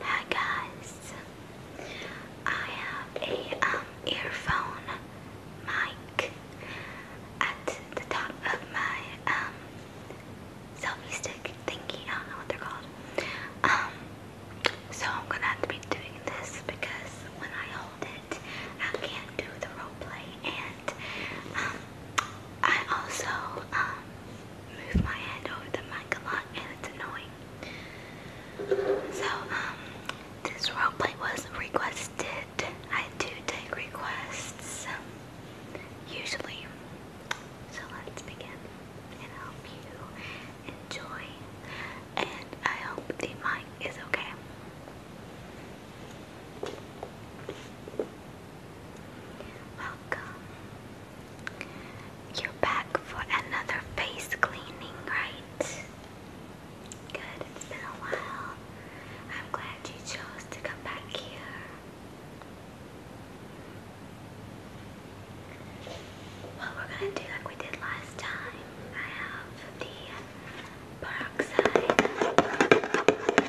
Hi guys, I have a um, earphone mic at the top of my um, selfie stick thingy. I don't know what they're called. Um, so I'm gonna have to be doing this because when I hold it, I can't do the role and um, I also um move my hand over the mic a lot and it's annoying. So, um, this roleplay was requested. I do take requests, um, usually. So let's begin, and I you enjoy, and I hope the mic is okay. Welcome. You're back for another face cleaning, right? Good, it's been a while. I'm glad you chose to come back here. Well, we're gonna do like we did last time. I have the peroxide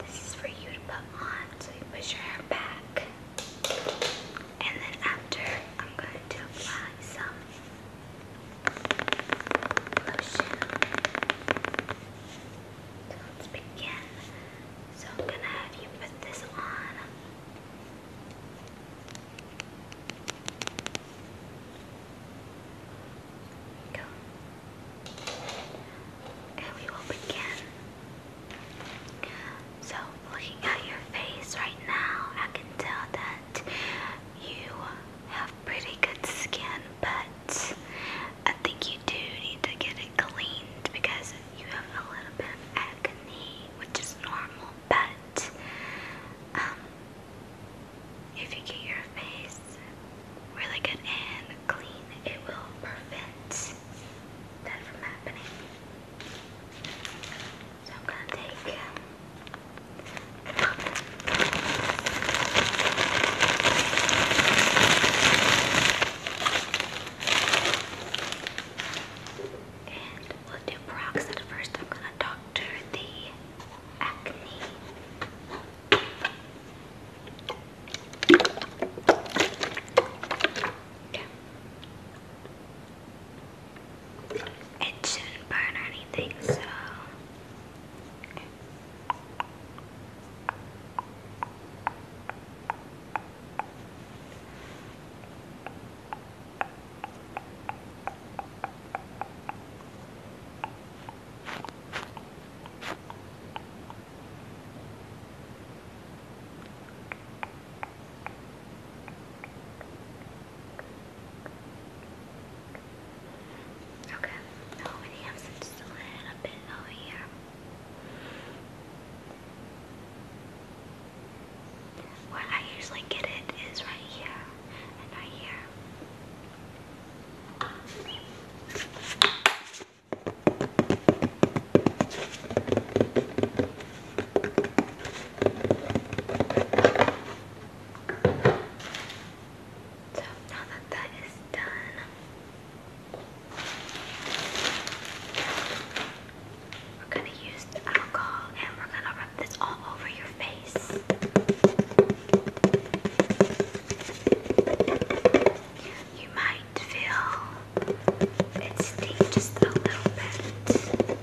This is for you to put on so you push your hair back. And then after, I'm going to apply some lotion. So let's begin. So I'm going to have you put this on. And we will begin. So, looking at your face right now, I can tell that you have pretty good skin, but I think you do need to get it cleaned because you have a little bit of acne, which is normal, but um, if you get your face really good and clean, it will prevent that from happening. So I'm gonna take um, and we'll do peroxide first. I'm gonna dot it shouldn't burn or anything, so. Okay, now we have just a little bit over here. Where I usually get it is right here and right here. So now that that is done, we're gonna use alcohol and we're gonna rub this all over your face. You might feel it sting just a little bit.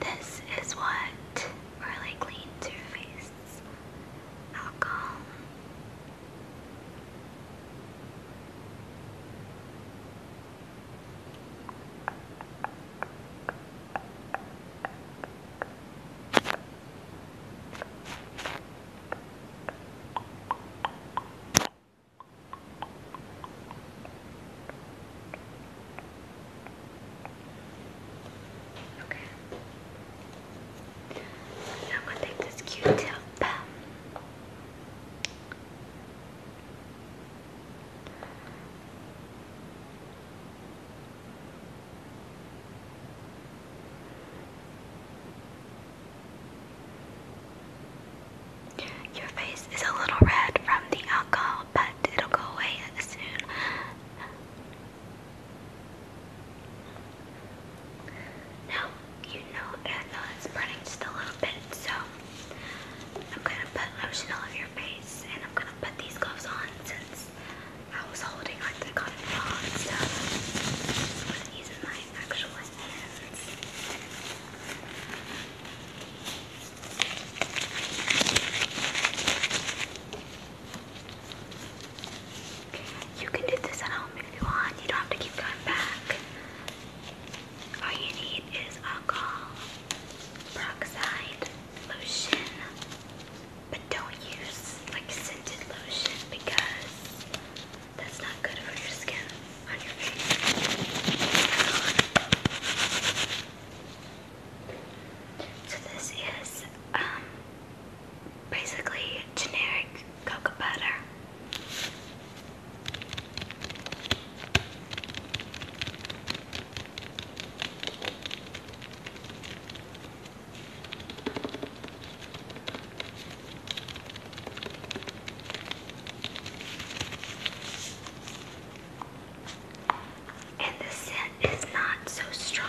This is what really cleans your face. Alcohol. Okay. Now I'm gonna take this Q-tip. Your face is a little red from the alcohol, but it'll go away soon. Now, you know ethanol uh, is burning just a little bit, so I'm gonna put lotion all over your face and I'm gonna put these gloves on since I was holding like the cotton ball and stuff. i my actual hands. You can do this at home if you want. You don't have to keep going back all you need is alcohol, peroxide, lotion, but don't use like scented lotion because that's not good for your skin on your face. So this is um basically generic cocoa butter. And the scent is not so strong.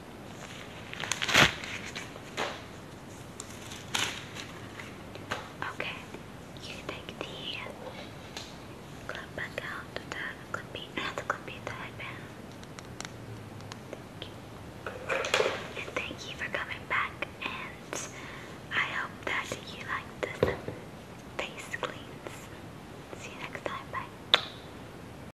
Okay, you take the clip back out, the clippy, not the clippy, the headband. Thank you. And thank you for coming back, and I hope that you like this face cleans. See you next time, bye.